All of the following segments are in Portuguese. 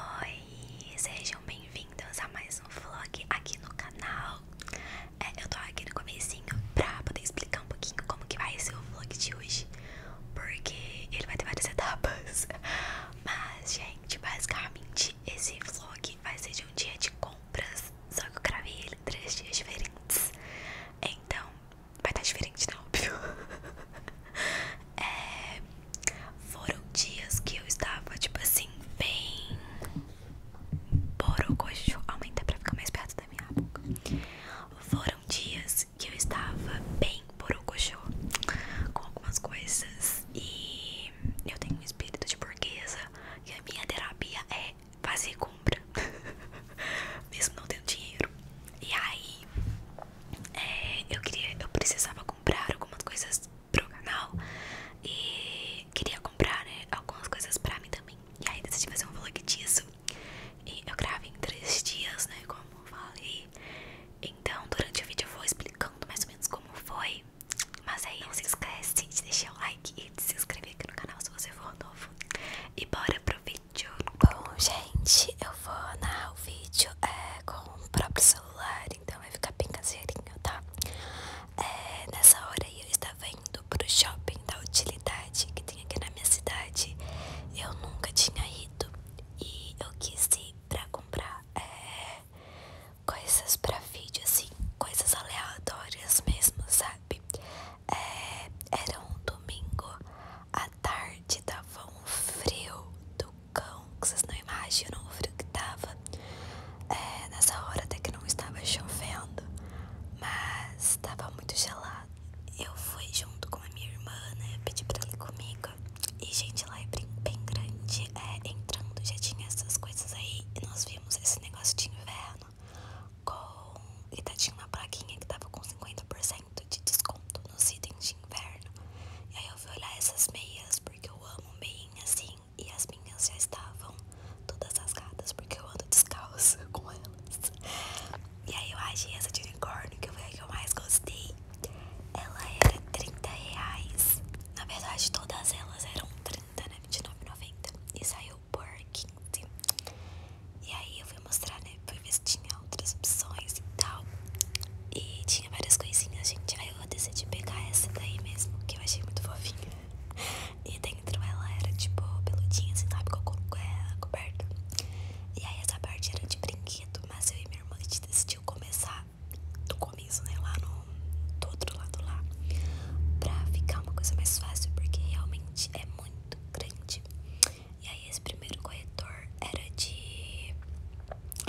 Oi, sejam bem-vindos a mais um vlog aqui no canal é, Eu tô aqui no comecinho pra poder explicar um pouquinho como que vai ser o vlog de hoje Porque ele vai ter várias etapas Mas, gente, basicamente esse vlog vai ser de um dia de compras Só que eu gravei ele três dias diferentes Então, vai estar tá diferente, né? Óbvio. É, foram dias que eu estava, tipo assim, bem. Borococho. Aumenta pra ficar mais perto da minha boca. Foram dias que eu estava bem borococho com algumas coisas. E eu tenho um espírito de burguesa. que a minha terapia é fazer compra. Mesmo não tendo dinheiro. E aí, é, eu precisava comprar algumas coisas pro canal e queria comprar né, algumas coisas pra mim também. E aí decidi fazer um vlog disso. E eu gravo em três dias, né? Como eu falei. Então durante o vídeo eu vou explicando mais ou menos como foi. Mas aí não se esquece de deixar o like e de se inscrever aqui no canal se você for novo. E bora aproveitar Bom, gente, eu vou narrar o vídeo é, com o próprio celular, então vai ficar bem caseirinho, tá? É, nessa hora eu estava indo pro shopping da utilidade que tem aqui na minha cidade. Eu nunca tinha ido e eu quis ir para comprar é, coisas para vídeo, assim, coisas aleatórias mesmo, sabe? era um domingo à tarde tarde tava um frio do cão, que vocês não imaginam o frio que tava. É, nessa hora até que não estava chovendo, mas tava muito gelado. Eu fui junto com a minha irmã, né? Pedi pra ele comigo. E, gente, lá é bem, bem grande. É, entrando já tinha essas coisas aí. E nós vimos esse negócio de inverno com. E tá, tinha uma plaquinha que tava com 50% de desconto nos itens de inverno. E aí eu fui olhar essas meias, porque eu amo meias assim. E as minhas já estavam todas rasgadas, porque eu ando descalça com elas. E aí eu achei essa de unicórnio, que foi a que eu mais gostei. Ela era 30 reais. Na verdade, todas elas eram 30, né? 29,90. E saiu por 15. E aí eu mostrar, né? Fui ver se tinha outras opções e tal. E tinha várias coisinhas, gente. Aí eu decidi pegar essa daí mesmo, que eu achei muito fofinha. E dentro ela era tipo peludinha, assim, sabe? Com ela coberta. E aí essa parte era de brinquedo, mas eu e minha irmã a gente decidiu começar do começo, né? Lá no do outro lado lá. Pra ficar uma coisa mais fácil, porque realmente é muito grande. E aí esse primeiro corretor era de.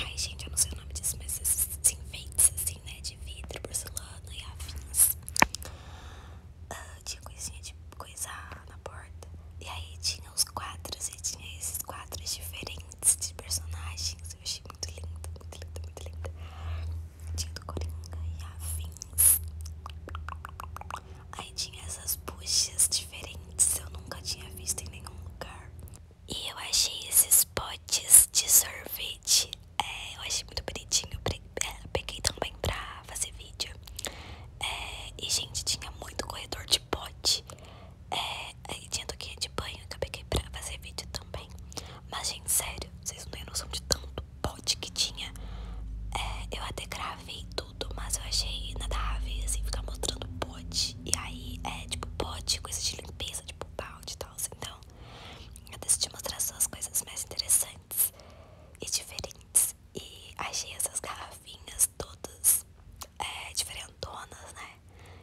Ai, gente, eu não sei o nome disso, mas esses enfeites assim, né? De vidro, porcelana e afins. Ah, tinha coisinha de coisa na porta. E aí tinha os quadros, e tinha esses quadros diferentes de personagens. Eu achei muito linda muito linda muito linda Tinha do Coringa e afins. Aí tinha essas buchas diferentes, eu nunca tinha visto em nenhum lugar. E eu achei esses potes de sorvete. É, eu achei muito bonitinho. É, peguei também pra fazer vídeo. É, e, gente, tinha muito corredor de pote. aí tinha toquinha de banho que eu peguei pra fazer vídeo também. Mas, gente, sério, vocês não têm noção de tanto pote que tinha. eu até gravei mas eu achei nada inadável, assim, ficar mostrando pote. E aí é tipo pote, coisa de limpeza, tipo balde e tal. Assim, então, eu decidi mostrar só as coisas mais interessantes e diferentes. E achei essas garrafinhas todas é, diferentonas, né?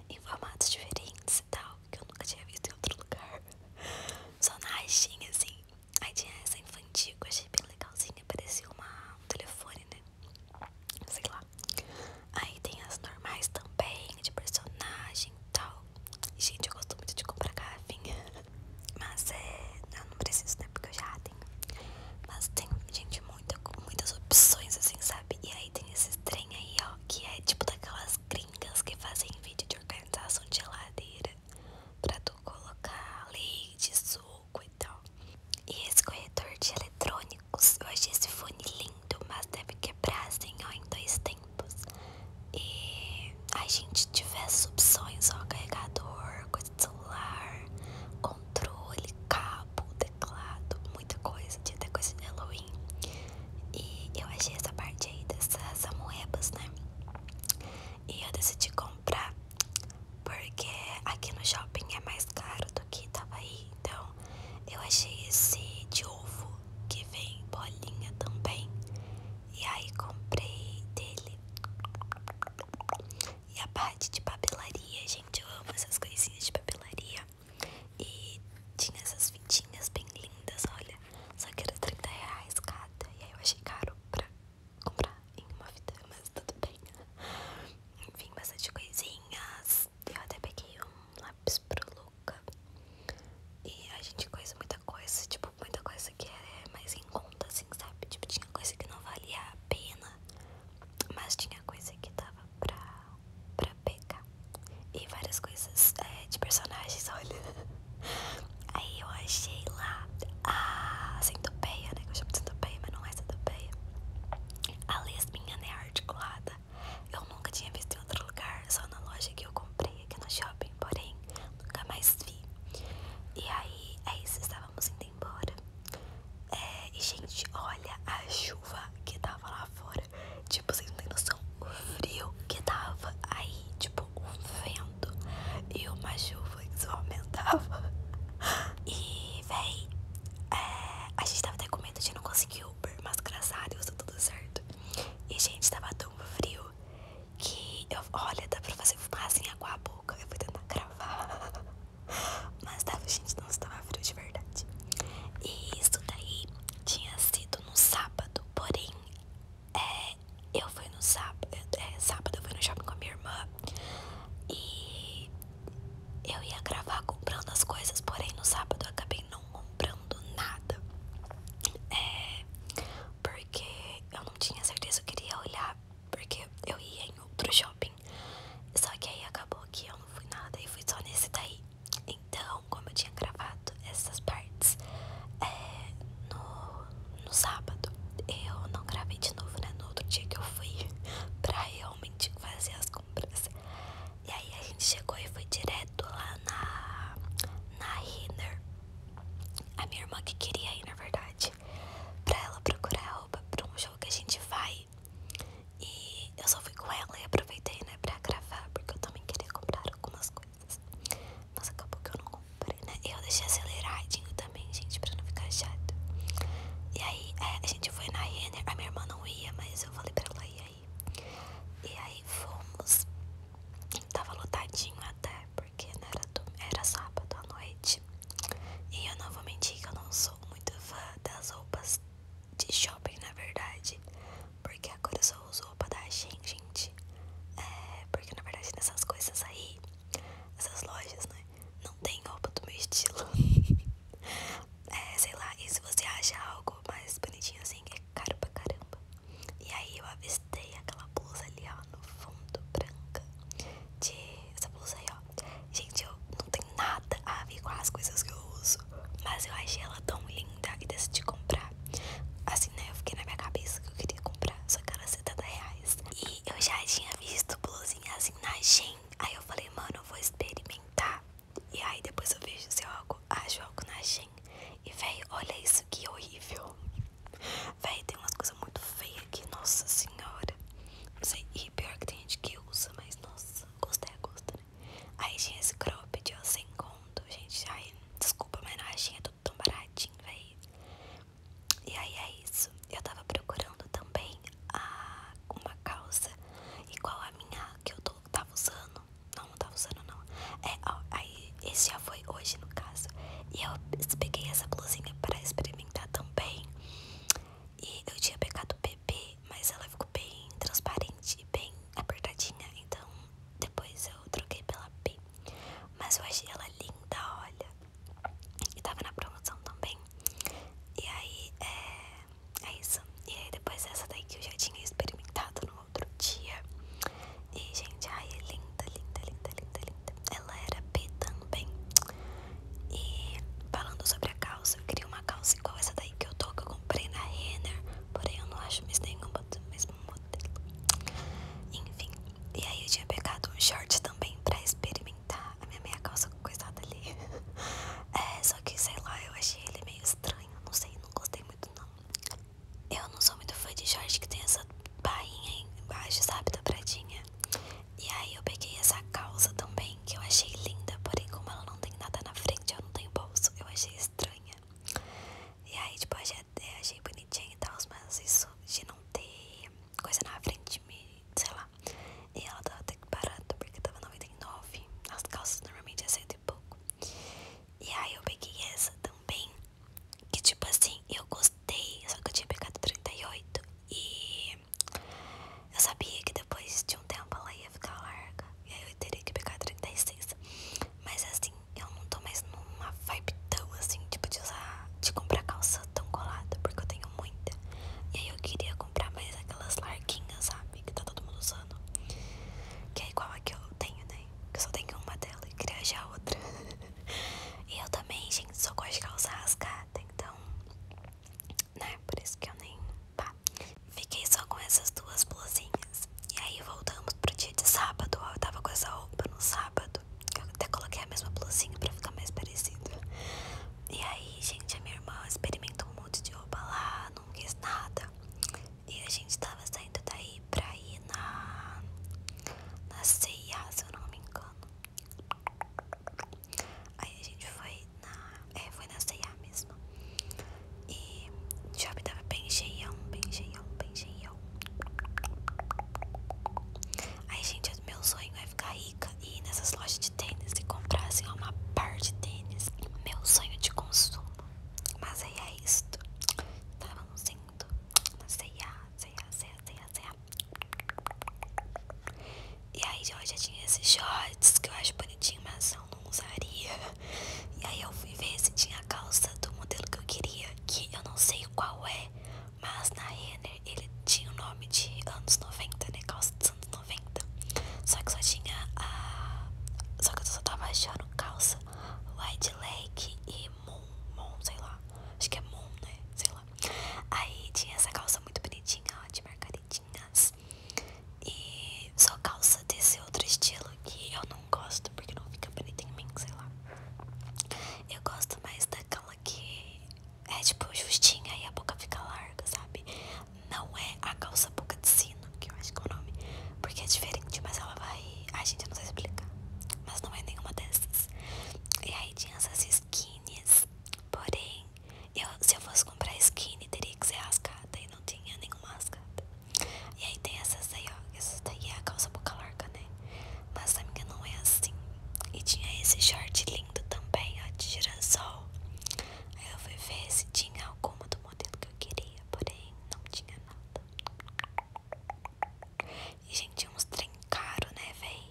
Em formatos diferentes e tal, que eu nunca tinha visto em outro lugar. Só na Shein, assim. Aí tinha essa infantil, eu achei bem legalzinha. Parecia um telefone, né? Sei lá. Aí tem as normais também, de personagem e tal. Gente, eu gosto muito de comprar garrafinha. Mas é. Eu não preciso, né? Porque eu já tenho. Mas tem, gente, muita, muitas opções, assim, sabe? E aí tem esse trem aí, ó, que é tipo daquelas gringas que fazem vídeo de organização de geladeira. Pra tu colocar leite, suco pouco e esse corretor de eletrônicos, eu achei esse fone lindo, mas deve quebrar assim, em dois tempos. E a gente tivesse opções, ó, carregador, coisa de celular, controle, cabo, teclado, muita coisa, tinha até coisa de Halloween. E eu achei essa parte aí dessas amoebas, né? E eu decidi comprar porque aqui no shopping é mais caro do que tava aí. Então eu achei esse de ovo que vem bolinha também. E aí comprei dele. E a parte de papelaria, gente, eu amo essas coisinhas de papelaria. E tinha essas fitinhas bem lindas, olha. Só que era 30 reais cada. E aí eu achei caro pra comprar em uma fita, mas tudo bem enfim, bastante coisinhas. Eu até peguei um lápis pro Luca. E a gente coisa muita coisa, tipo, muita coisa que era é mais em conta, assim, sabe? Tipo, tinha coisa que não valia a pena, mas tinha coisa que tava pra, pra pegar. E várias coisas é, de personagens, olha. Aí eu achei lá a centopeia, né? Que eu chamo de centopeia, mas não é centopeia. Assim, a lesbinha é articulada. Eu nunca tinha visto em outro lugar, só na loja que eu comprei aqui no shopping, porém nunca mais vi. E aí, é isso, estávamos indo embora. É, e gente, olha a chuva que tava lá fora. Tipo, vocês não tem noção o frio que tava aí. Tipo, um vento e uma chuva que só aumentava. E aí, é, a gente tava até com medo de não conseguir Uber, mas graças a Deus deu tudo certo. E, gente, tava tão frio que eu. Olha, dá pra fazer fumaça em água a boca. Eu fui tentar gravar. Mas tava, gente, não estava frio de verdade. E isso daí tinha sido no sábado, porém. É, eu fui no sábado, é, sábado eu fui no shopping com a minha irmã e eu ia gravar comprando as coisas, porém no sábado acabei não comprando nada. É. Porque eu não tinha certeza, eu queria olhar. Porque eu ia em outro shopping. Só que aí acabou que eu não fui nada e fui só nesse daí. Então, como eu tinha gravado essas partes é, no, no sábado, eu não gravei de novo, né? No outro dia que eu fui pra eu fazer as compras. E aí a gente chegou e foi direto lá na, na Renner. A minha irmã que queria ir, na verdade, pra ela procurar roupa pra um jogo que a gente vai. E eu só fui com ela e aproveitei, né, pra gravar, porque eu também queria comprar algumas coisas. Mas acabou que eu não comprei, né? Eu deixei aceleradinho também, gente, pra não ficar chato. E aí é, a gente foi na a minha irmã não ia, mas eu falei pra ela ir aí. E aí fomos. Tava lotadinho até, porque né, era, do, era sábado à noite. E eu não vou mentir que eu não sou muito fã das roupas de shopping, na verdade. Porque agora eu só uso roupa da gente. É, porque na verdade nessas coisas aí, essas lojas, né? Não tem roupa do meu estilo. é, sei lá, e se você acha algo mais bonitinho assim, é caro pra caramba. E aí eu avistei aquela blusa ali, ó, no fundo, branca. De essa blusa aí, ó. Gente, eu não tenho nada a ver com as coisas que eu uso. Mas eu achei ela tão linda que decidi comprar. Assim, né? Eu fiquei na minha cabeça que eu queria comprar. Só que era 70 reais. E eu já tinha visto blusinha assim na gente Aí eu falei, mano, eu vou experimentar. E aí depois eu vejo se eu acho algo ah, na Shein. E véi, olha isso que horrível. Véi, tem umas coisas muito feias aqui, nossa senhora. Não sei, e pior que tem gente que usa, mas nossa, gostei a é gosto, né? Aí tinha esse crop de sem conto, gente. Ai, desculpa, mas na Shein é tudo tão baratinho, véi. E aí é isso. Eu tava procurando também a uma calça igual a minha que eu tô, tava usando. Não, tava usando não. É, aí esse já foi hoje no caso. E eu peguei essa blusinha para experimentar também. E eu tinha pegado o bebê, mas ela ficou bem transparente, bem apertadinha. Então depois eu troquei pela P. Mas eu achei ela linda, olha. E tava na promoção também. E aí é, é isso. E aí depois essa daí que eu já tinha experimentado no outro dia. E gente, ai é linda, linda, linda, linda, linda. Ela era P também. E falando sobre a calça, eu queria uma calça igual essa daí que eu tô, que eu comprei na Renner. Porém eu não acho mais nenhuma do mesmo modelo. Enfim. E aí eu tinha pegado um short também pra experimentar a minha meia calça coisada ali. É, só que sei lá, eu achei ele meio estranho. Não sei, não gostei muito não. Eu não sou muito fã de short que tem essa barrinha embaixo, sabe? Dobradinha. E aí eu peguei essa calça também, que eu achei linda, porém como ela não tem nada na frente, eu não tenho bolso. Eu achei estranha. E aí, tipo, eu achei, achei bonitinha e tal, mas isso de não ter coisa na frente, me, sei lá. E ela tava até que parada porque tava 99. As calças normalmente é cento e pouco. E aí eu peguei essa também. Que tipo assim, eu gostei. Só que eu tinha pegado 38. E eu sabia que depois de um tempo ela ia ficar larga. E aí eu teria que pegar 36. Mas assim, eu não tô mais numa vibe tão assim, tipo de usar, de comprar calça tão colada. Porque eu tenho muita. E aí eu queria comprar mais aquelas larguinhas, sabe? Que tá todo mundo usando. Que é igual a que eu tenho, né? Que eu só tenho uma dela e queria já outra. e eu também, gente, só gosto de calça rasgada. Então, né? Por isso que eu nem. Fiquei só com essas duas blusinhas. E aí voltamos pro dia de sábado. Eu tava com essa roupa no sábado. Eu até coloquei a mesma blusinha pra ficar mais parecido. E aí, gente, a minha irmã experimentou um monte de roupa lá, não quis nada. E a gente tava saindo daí pra ir na. na ceia se eu não me engano. Aí a gente foi na. É, foi na ceia mesmo. E o shopping tava bem cheio bem cheio bem cheio Aí, gente, meu sonho é ficar e ir nessas lojas de tênis e comprar assim, uma par de tênis. Meu sonho de consumo. Mas aí é isto. Estávamos indo na ceia, ceia, ceia, ceia, ceia. E aí eu tinha esses shorts que eu acho bonitinho, mas eu não usaria. E aí eu fui ver se tinha a calça do modelo que eu queria, que eu não sei qual é, mas na Renner ele tinha o nome de anos 90, né? Calça dos anos 90. Só que só tinha a. Só que eu só tava achando calça wide leg e Moon, Moon, sei lá. Acho que é Moon, né? Sei lá. Aí tinha essa calça muito bonitinha, ó, de marcaridinhas. E só calça desse outro estilo que eu não gosto, porque não fica bonita em mim, sei lá. Eu gosto mais daquela que é tipo justinha e a boca fica larga, sabe? Não é a calça boca de sino, que eu acho que é o nome, porque é diferente, mas ela vai. a gente, não vai explicar. Mas não é nenhuma dessas. E aí tinha essas skins, porém, eu, se eu fosse comprar skin, teria que ser rascada e não tinha nenhuma rascada. E aí tem essas aí, ó. Essas daí é a calça boca larga, né? Mas a minha não é assim. E tinha esse short lindo também, ó, de girassol. Aí eu fui ver se tinha alguma do modelo que eu queria, porém não tinha nada. E gente, uns trem caro, né, véi?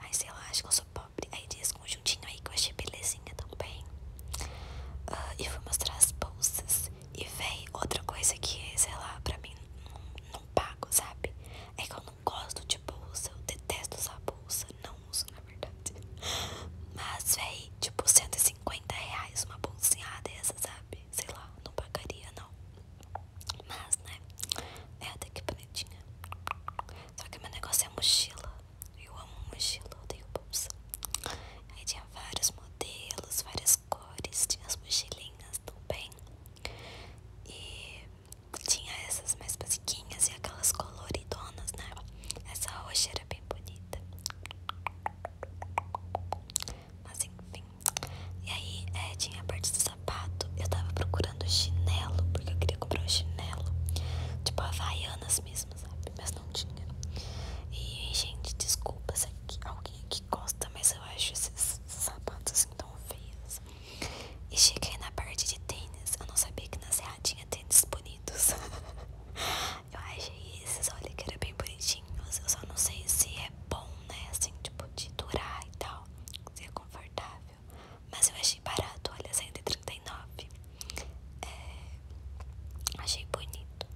aí sei lá, acho que eu sou pobre. Aí tinha esse conjuntinho aí que eu achei belezinha também. Ah, e fui mostrar as bolsas. E véi, outra coisa que, é sei lá, pra mim não, não pago, sabe? É que eu não gosto de bolsa, eu detesto usar bolsa, não uso na verdade. Mas, véi, tipo 150 reais uma bolsinha dessa, sabe? Sei lá, não pagaria não. Mas, né? É até que bonitinha. Só que meu negócio é mochila. Eu amo mochila, eu odeio bolsa. Aí tinha vários modelos, várias cores, tinha as mochilinhas também. E tinha essas mais basiquinhas e aquelas coloridonas, né? Essa roxa era bem bonita. Mas enfim. E aí é, tinha a parte do sapato. Eu tava procurando chinelo, porque eu queria comprar um chinelo. Tipo havaianas mesmo, sabe? Mas não tinha. E, gente, desculpa se aqui, alguém aqui gosta, mas eu acho esses sapatos assim tão feios. E cheguei na parte de tênis. Eu não sabia que na Serra tinha tênis bonitos. eu achei esses, olha, que era bem bonitinhos. Eu só não sei se é bom, né? Assim, tipo, de durar e tal. Se é confortável. Mas eu achei barato, olha, 139. É, achei bonito.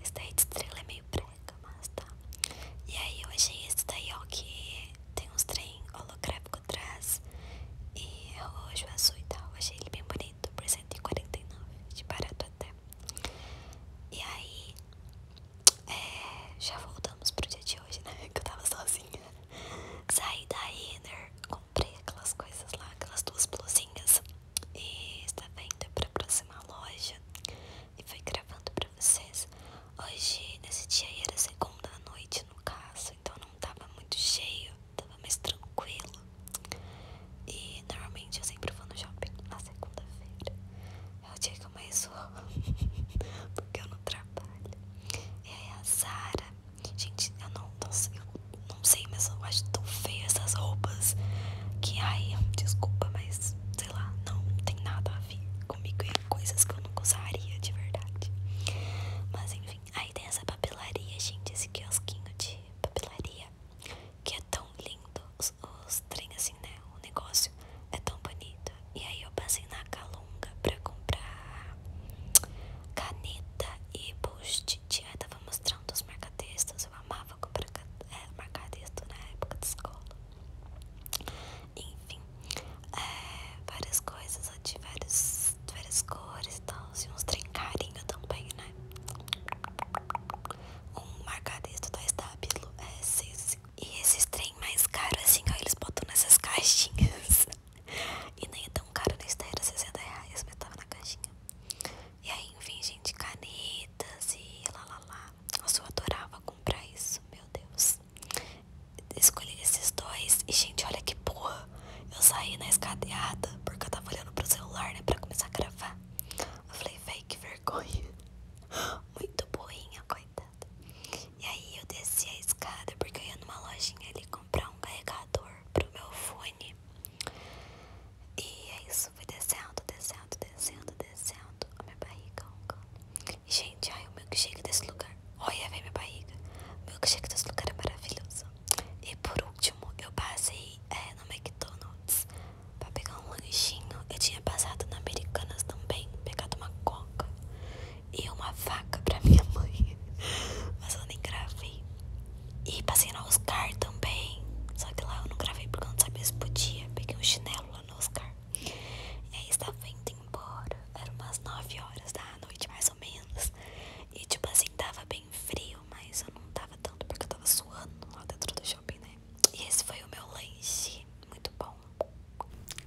Esse daí de estrela é meio branca, mas tá. E aí eu achei esse daí, ó, que tem uns trem holográfico atrás e é roxo, azul e tal. Achei ele bem bonito por 149 de barato até. E aí, é, já voltamos pro dia de hoje, né? Que eu tava sozinha. Saí da Inner, comprei aquelas coisas lá, aquelas duas blusinhas. E estava indo pra próxima loja e foi gravando pra vocês. Hoje, nesse dia, era segunda noite, no caso então não tava muito cheio, tava mais tranquilo. E normalmente eu sempre vou no shopping na segunda-feira. É o dia que eu mais vou, porque eu não trabalho. E aí a Zara, gente, eu não, não sei, mas eu acho tão feio essas roupas que ai, desculpa, mas sei lá, não tem nada a ver comigo e coisas que eu nunca usaria de verdade. Mas enfim, aí tem essa papelaria, gente, esse quiosquinho de papelaria. Que é tão lindo, os, os trem assim, né? O negócio é tão bonito. E aí eu passei na Calunga pra comprar caneta e post-it. Aí tava mostrando os marcatextos. Eu amava comprar é, na época de escola. Enfim, é, várias coisas de várias, várias cores e tal. Se assim, uns trem carinho também, né? Um marcadista da Estábilo é E esses trem mais caros, assim, ó, eles botam nessas caixinhas. e nem é tão caro na esteira, era 60 reais, mas tava na caixinha. E aí, enfim, gente, canetas e lá lá lá. Nossa, eu adorava comprar isso, meu Deus escolhi esses dois. E, gente, olha que porra. Eu saí na escadeada porque eu tava olhando pro celular, né? Pra começar a gravar. Eu falei, véi, que vergonha. Muito boinha, coitada. E aí eu desci a escada porque eu ia numa lojinha ali comprar um carregador pro meu fone. E é isso, fui descendo, descendo, descendo, descendo. A minha barriga gente, ai, o milkshake desse lugar. Olha, vem minha barriga. O milkshake desse lugar é maravilhoso. E por último, eu passei é, no McDonald's pra pegar um lanchinho. Eu tinha passado na Americanas também, pegado uma coca e uma vaca pra minha mãe. Mas eu nem gravei. E passei no Oscar também. Só que lá eu não gravei porque eu não sabia se podia. Peguei um chinelo lá no Oscar. E aí estava indo embora. Eram umas 9 horas da noite, mais mais ou menos. E tipo assim, tava bem frio, mas eu não tava tanto porque eu tava suando lá dentro do shopping, né? E esse foi o meu lanche, muito bom.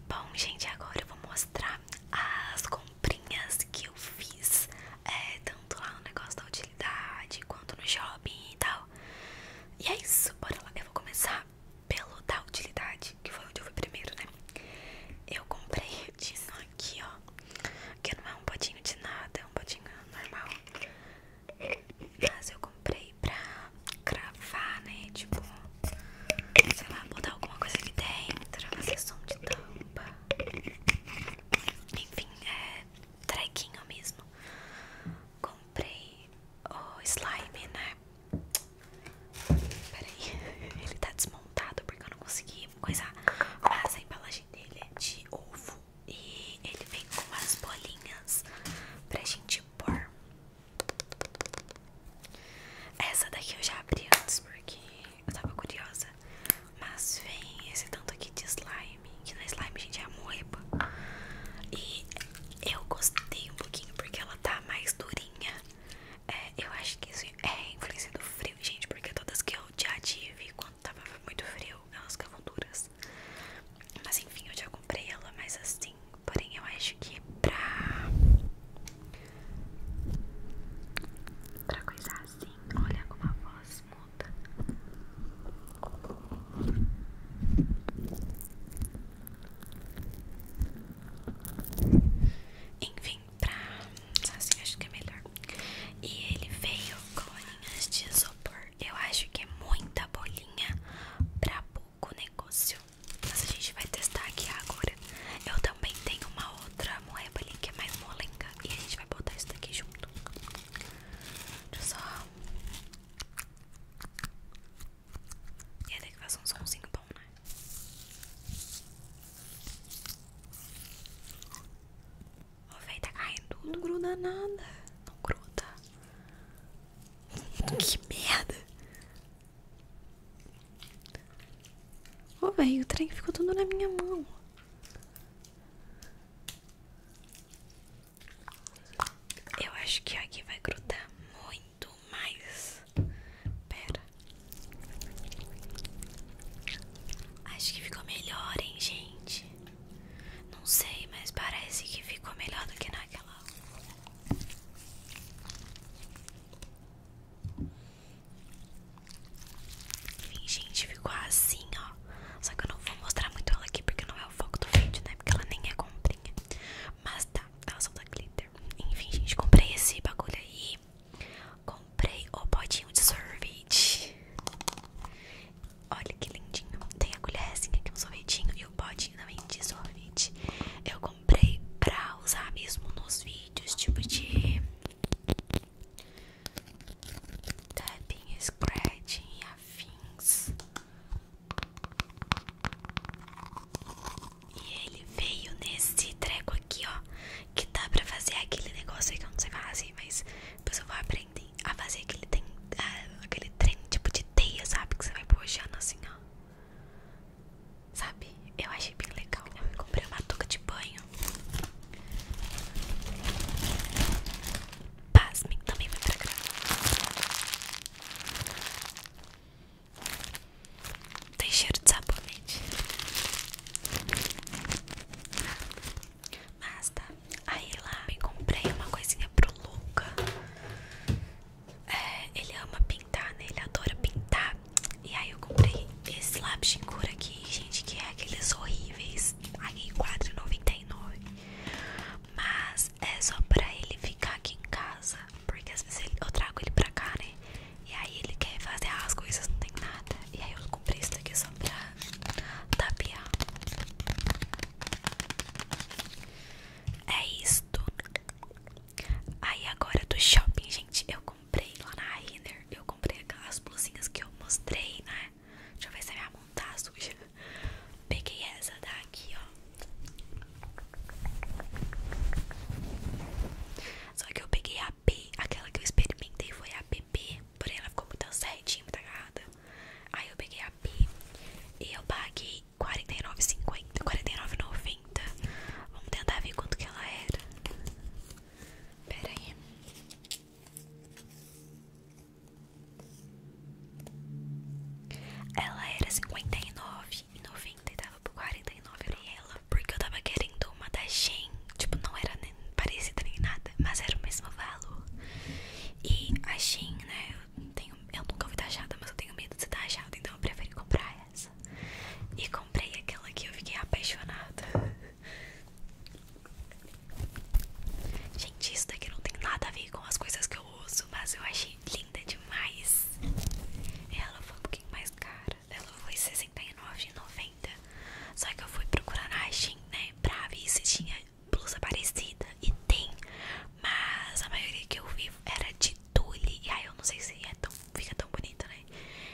Bom, gente, agora eu vou mostrar as comprinhas que eu fiz, é, tanto lá no negócio da utilidade quanto no shopping e tal. E é isso, bora lá. Eu vou começar pelo da utilidade, que foi onde eu fui primeiro, né? Eu comprei disso aqui, ó. Que não é um potinho de nada, é um potinho normal. Mas eu comprei pra cravar, né? Tipo, sei lá, mudar alguma coisa aqui dentro, fazer som de tampa. Enfim, é trequinho mesmo. Comprei o slime, né? Peraí, ele tá desmontado porque eu não consegui coisar. Mas a embalagem dele é de ovo e ele vem com as bolinhas pra gente pôr. Essa daqui eu já abri antes porque eu tava curiosa. Mas vem esse tanto aqui de slime, que na é slime, gente, é a E eu gostei um pouquinho porque ela tá mais durinha. É, eu acho que isso é influência do frio, gente, porque todas que eu já tive quando tava muito frio, elas ficavam duras. Mas enfim, eu já comprei ela mais assim. Porém, eu acho que pra. pra coisar assim. Olha como a voz muda. Enfim, pra. Assim, acho que é melhor. E ele veio com bolinhas de isopor. Eu acho que é muita bolinha pra pouco negócio. Mas a gente vai testar aqui agora. Eu também tenho uma outra moeba ali que é mais molenga. E a gente vai botar isso daqui junto. Deixa eu só. E até que faz um somzinho bom, né? Ó, véi, tá caindo tudo. Não gruda nada. Não gruda. que merda. Ô, véi, o trem ficou tudo na minha mão. Eu acho que aqui vai grudar muito mais. Pera. Acho que ficou melhor, hein, gente? Não sei, mas parece que ficou melhor do que naquela. Enfim, gente, ficou assim, ó. Só que eu não vou mostrar muito ela aqui porque não é o foco do vídeo, né? Porque ela nem é comprinha. Mas tá, ela só tá glitter. Enfim, gente, comprei esse bagulho aí. Comprei o potinho de sorvete. Olha que lindinho. Tem a colherzinha aqui, um sorvetinho e o potinho também de sorvete. Eu comprei pra usar mesmo nos vídeos, tipo de tapping, scratching e afins. E ele veio nesse treco aqui, ó. Que dá pra fazer aquele negócio que eu não sei falar assim, mas depois eu vou aprender a fazer aquele, aquele trem tipo de teia, sabe? Que você vai puxando assim, ó. Sabe? Eu achei bem legal. Eu comprei uma touca de banho. Pasme, também vai pra cá. Tem cheiro de sabonete. Mas tá. Aí lá eu comprei uma coisinha pro Luca. É, ele ama pintar, né? Ele adora pintar. E aí eu comprei esse lápis de cor aqui, gente, que é aqueles horríveis. Aqui R$4,99. Mas é só pra ele ficar aqui em casa. Porque às vezes eu trago ele pra cá, né? E aí ele quer fazer as coisas, não tem nada. E aí eu comprei isso daqui só pra tapiar É isso Aí agora do shopping, gente, eu comprei lá na Renner. Eu comprei aquelas blusinhas que eu mostrei, né? Deixa eu ver se a minha mão tá suja. Peguei essa daqui, ó. Só que eu peguei a P, aquela que eu experimentei foi a PP, porém ela ficou muito certinha, muito agarrada. Aí eu peguei a P e eu paguei R$ 49,50, R$ 49,90. Vamos tentar ver quanto que ela era. Pera aí. Ela era R$ 59,90 e tava por 49 era ela. Porque eu tava querendo uma da Shein. Tipo, não era nem parecida nem nada, mas era o mesmo valor. E a Shein, né? Eu, tenho, eu nunca fui taxada, mas eu tenho medo de ser taxada, então eu prefiro comprar essa. E comprei aquela que eu fiquei apaixonada. Gente, isso daqui não tem nada a ver com as coisas que eu uso, mas eu achei linda demais. Ela foi um pouquinho mais cara. Né? Ela foi R$69,90. Só que eu fui procurar na Shein, né? Pra ver se tinha blusa parecida. E tem. Mas a maioria que eu vi era de tule. E aí eu não sei se é tão, fica tão bonito né?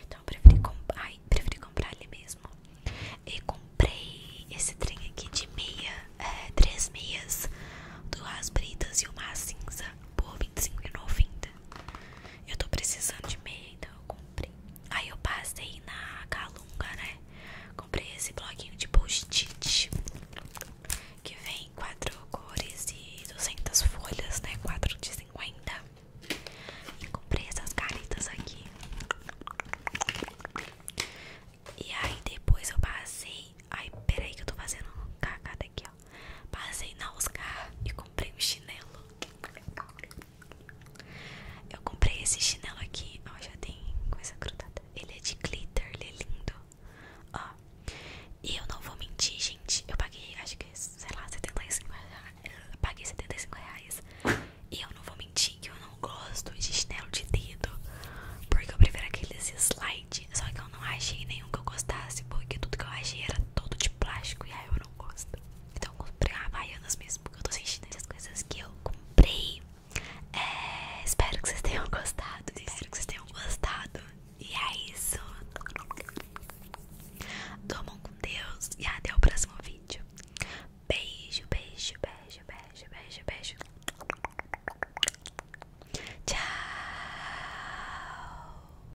Então eu preferi, comp Ai, preferi comprar ali mesmo. E comprei esse trem aqui de meia. É, três meias. Duas britas e uma cinza. Por R$25,90. Eu tô precisando de meia, então eu comprei. Aí eu passei na Calunga, né? Comprei esse bloquinho de post-it que vem quatro cores e 200 folhas, né? 4 de 50. E comprei essas caretas aqui. E aí depois eu passei. Ai, peraí que eu tô fazendo cagada aqui, Passei na Oscar e comprei um chinelo. Eu comprei esse chinelo aqui. Ó, já tem coisa grudada. Ele é de glitter, ele é lindo. Ó, e eu não vou mentir, gente. Eu paguei, acho que, sei lá, 75 reais. Eu paguei 75 reais. E eu não vou mentir que eu não gosto de chinelo de dedo. Porque eu prefiro aqueles slides Só que eu não achei nenhum que eu gostasse. Porque tudo que eu achei era todo de plástico. E aí eu eu Então eu comprei Havaianas mesmo, porque eu tô sentindo essas coisas que eu comprei. É, espero que vocês tenham gostado. Espero que vocês tenham gostado. E é isso. Dormam com Deus e até o próximo vídeo. Beijo, beijo, beijo, beijo, beijo, beijo. Tchau.